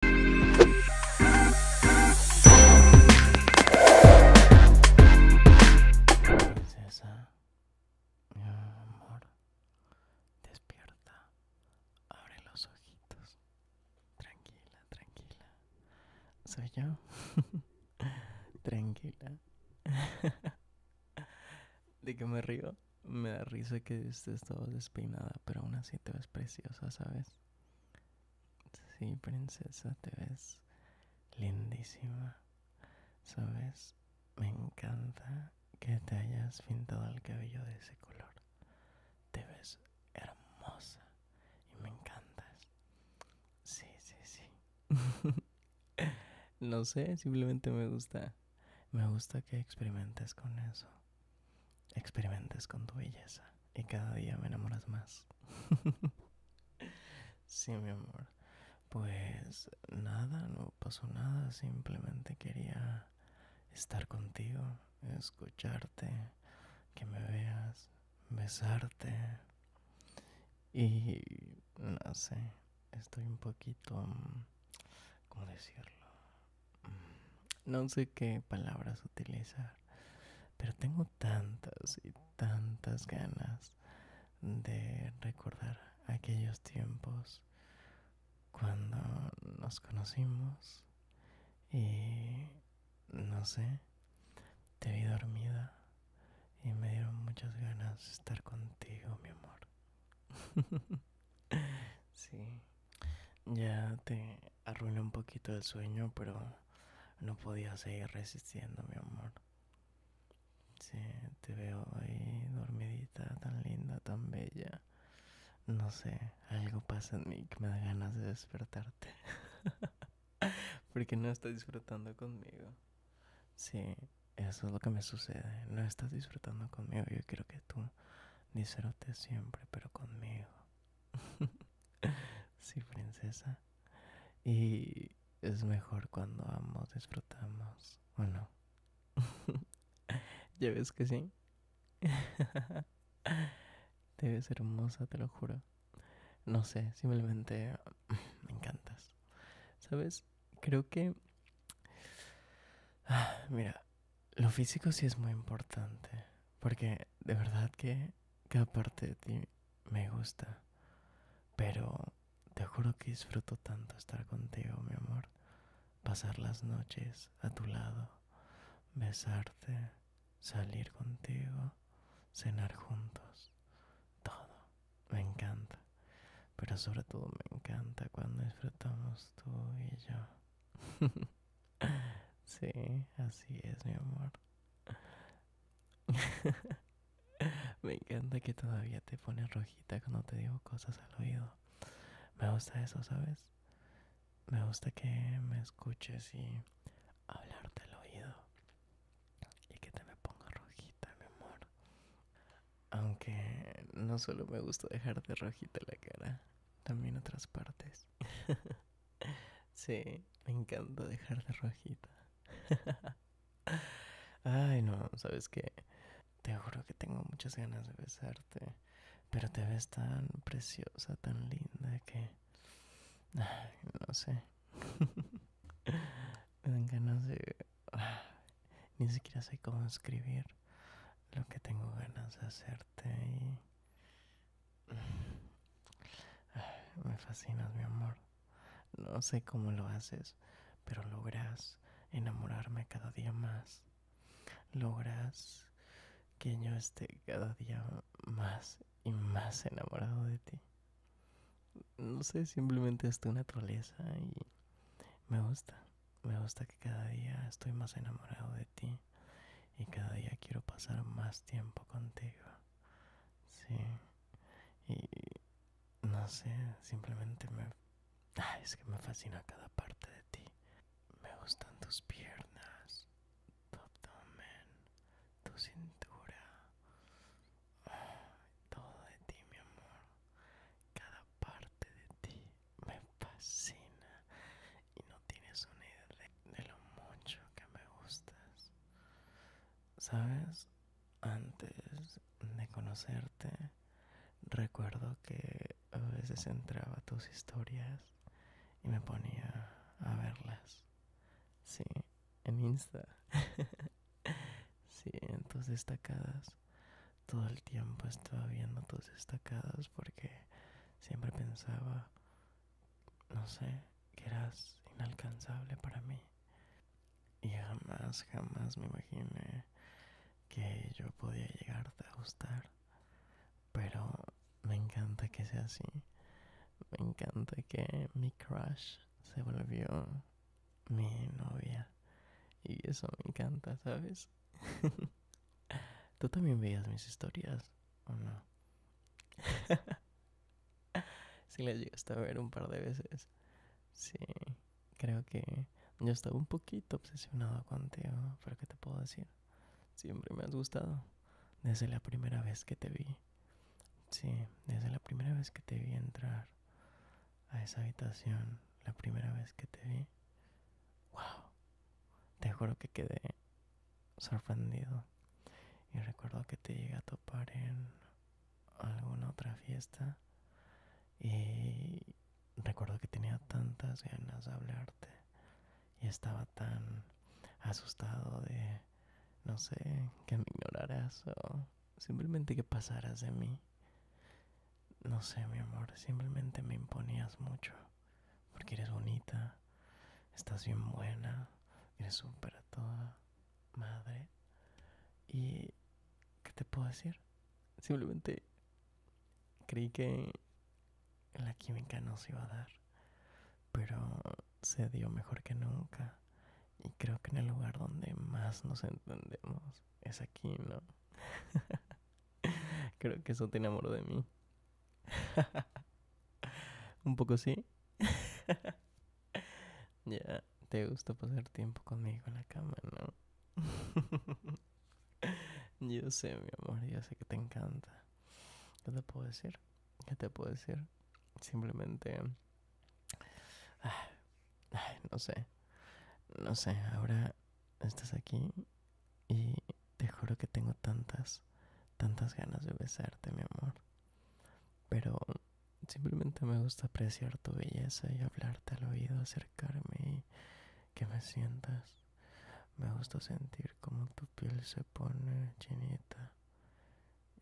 Princesa, mi amor, despierta, abre los ojitos, tranquila, tranquila, soy yo, tranquila. ¿De que me río? Me da risa que estés todo despeinada, pero aún así te ves preciosa, ¿sabes? Sí, princesa, te ves lindísima. Sabes, me encanta que te hayas pintado el cabello de ese color. Te ves hermosa y me encantas. Sí, sí, sí. no sé, simplemente me gusta. Me gusta que experimentes con eso experimentes con tu belleza y cada día me enamoras más. sí, mi amor. Pues nada, no pasó nada, simplemente quería estar contigo, escucharte, que me veas, besarte. Y no sé, estoy un poquito, mm, ¿cómo decirlo? No sé qué palabras utilizar, pero tengo tantas y tantas ganas de recordar aquellos tiempos cuando nos conocimos y no sé, te vi dormida y me dieron muchas ganas de estar contigo, mi amor. sí. Ya te arruiné un poquito el sueño, pero no podía seguir resistiendo, mi amor. Sí, te veo ahí dormidita, tan linda, tan bella. No sé, algo pasa en mí que me da ganas de despertarte. Porque no estás disfrutando conmigo. Sí, eso es lo que me sucede. No estás disfrutando conmigo. Yo quiero que tú Disfrute siempre, pero conmigo. sí, princesa. Y es mejor cuando vamos, disfrutamos, Bueno ¿Ya ves que sí? te ves hermosa, te lo juro. No sé, simplemente me encantas. ¿Sabes? Creo que... mira, lo físico sí es muy importante, porque de verdad que cada parte de ti me gusta, pero te juro que disfruto tanto estar contigo, mi amor, pasar las noches a tu lado, besarte, salir contigo, cenar juntos, todo, me encanta, pero sobre todo me encanta cuando disfrutamos tú y yo. sí, así es, mi amor. Me encanta que todavía te pones rojita cuando te digo cosas al oído. Me gusta eso, ¿sabes? Me gusta que me escuches y hablarte al oído. Y que te me ponga rojita, mi amor. Aunque no solo me gusta dejar de rojita la cara, también otras partes. sí, me encanta dejar de rojita. Ay, no, ¿sabes que Te juro que tengo muchas ganas de besarte, pero te ves tan preciosa, tan linda que... no sé. me encanta. ni siquiera sé cómo escribir lo que tengo ganas de hacerte me fascinas mi amor no sé cómo lo haces pero logras enamorarme cada día más logras que yo esté cada día más y más enamorado de ti no sé simplemente es tu naturaleza y me gusta me gusta que cada día estoy más enamorado de ti y cada día quiero pasar más tiempo contigo. Sí. Y no sé, simplemente me... es que me fascina cada parte de ti. Me gustan tus piernas, tu abdomen, tu cintura. todo de ti, mi amor. Cada parte de ti me fascina y no tienes una idea de, lo mucho que me gustas. Sabes, antes de conocerte, recuerdo que a veces entraba tus historias y me ponía a verlas. Sí, en Insta. sí, en tus destacadas todo el tiempo estaba viendo tus estacadas porque siempre pensaba, no sé, que eras inalcanzable para mí. Y jamás, jamás me imaginé que yo podía llegarte a gustar. Pero me encanta que sea así. Me encanta que mi crush se volvió mi novia. Y eso me encanta, ¿sabes? ¿Tú también veías mis historias o no? sí, las llegaste a ver un par de veces. Sí, creo que yo estaba un poquito obsesionado contigo, pero ¿qué te puedo decir? Siempre me has gustado. Desde la primera vez que te vi. Sí, desde la primera vez que te vi entrar a esa habitación la primera vez que te vi, wow, te juro que quedé sorprendido. Y recuerdo que te llegué a topar en alguna otra fiesta y recuerdo que tenía tantas ganas de hablarte y estaba tan asustado de, no sé, que me ignoraras o Simplemente que pasaras de mí. No sé, mi amor, simplemente me imponías mucho. Porque eres bonita, estás bien buena, eres súper a toda madre. Y, ¿qué te puedo decir? Simplemente creí que la química no se iba a dar. Pero se dio mejor que nunca. Y creo que en el lugar donde más nos entendemos es aquí, ¿no? creo que eso tiene amor de mí. Un poco sí. ya, te gusta pasar tiempo conmigo en la cama, ¿no? yo sé, mi amor, yo sé que te encanta. ¿Qué te puedo decir? ¿Qué te puedo decir? Simplemente no sé. No sé, ahora estás aquí y te juro que tengo tantas, tantas ganas de besarte, mi amor. Pero simplemente me gusta apreciar tu belleza y hablarte al oído, acercarme y que me sientas. Me gusta sentir como tu piel se pone chinita.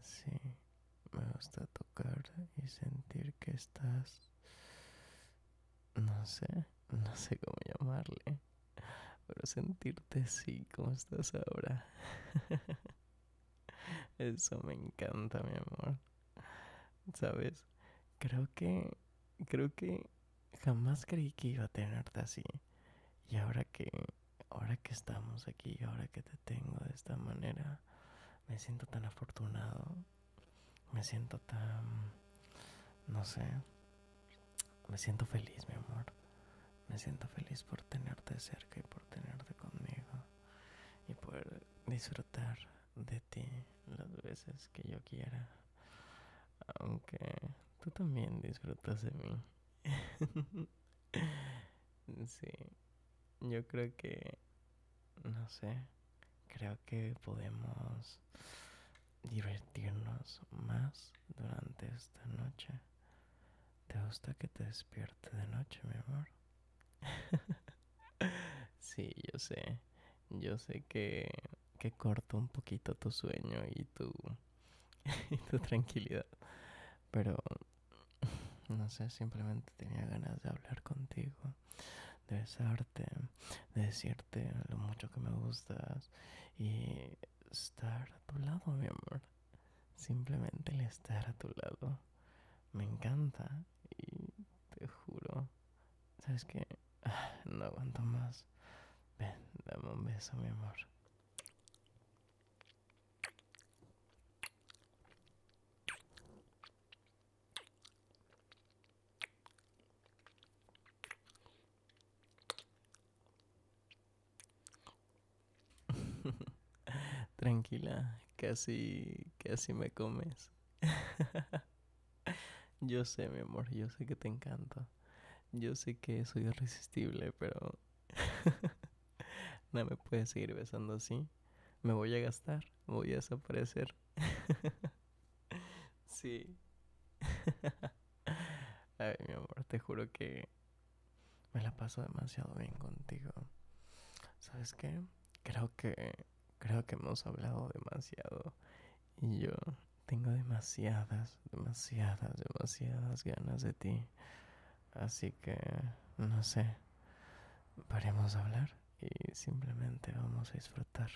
Sí, me gusta tocar y sentir que estás... No sé, no sé cómo llamarle. Pero sentirte así como estás ahora. Eso me encanta, mi amor. ¿Sabes? Creo que... Creo que jamás creí que iba a tenerte así. Y ahora que... Ahora que estamos aquí, ahora que te tengo de esta manera, me siento tan afortunado, me siento tan, no sé, me siento feliz, mi amor. Me siento feliz por tenerte cerca y por tenerte conmigo y poder disfrutar de ti las veces que yo quiera. Aunque tú también disfrutas de mí. sí. Yo creo que. No sé. Creo que podemos divertirnos más durante esta noche. ¿Te gusta que te despierte de noche, mi amor? sí, yo sé. Yo sé que, corto un poquito tu sueño y tu, y tu tranquilidad. Pero no sé, simplemente tenía ganas de hablar contigo, de besarte, de decirte lo mucho que me gustas y estar a tu lado, mi amor. Simplemente el estar a tu lado me encanta y te juro, ¿sabes que ah, no aguanto más. Ven, dame un beso, mi amor. Tranquila, casi, casi me comes. yo sé, mi amor, yo sé que te encanta. Yo sé que soy irresistible, pero no me puedes seguir besando así. Me voy a gastar, voy a desaparecer. sí. Ay, mi amor, te juro que me la paso demasiado bien contigo. ¿Sabes qué? Creo que creo que hemos hablado demasiado y yo tengo demasiadas, demasiadas, demasiadas ganas de ti. Así que, no sé, paremos de hablar y simplemente vamos a disfrutar.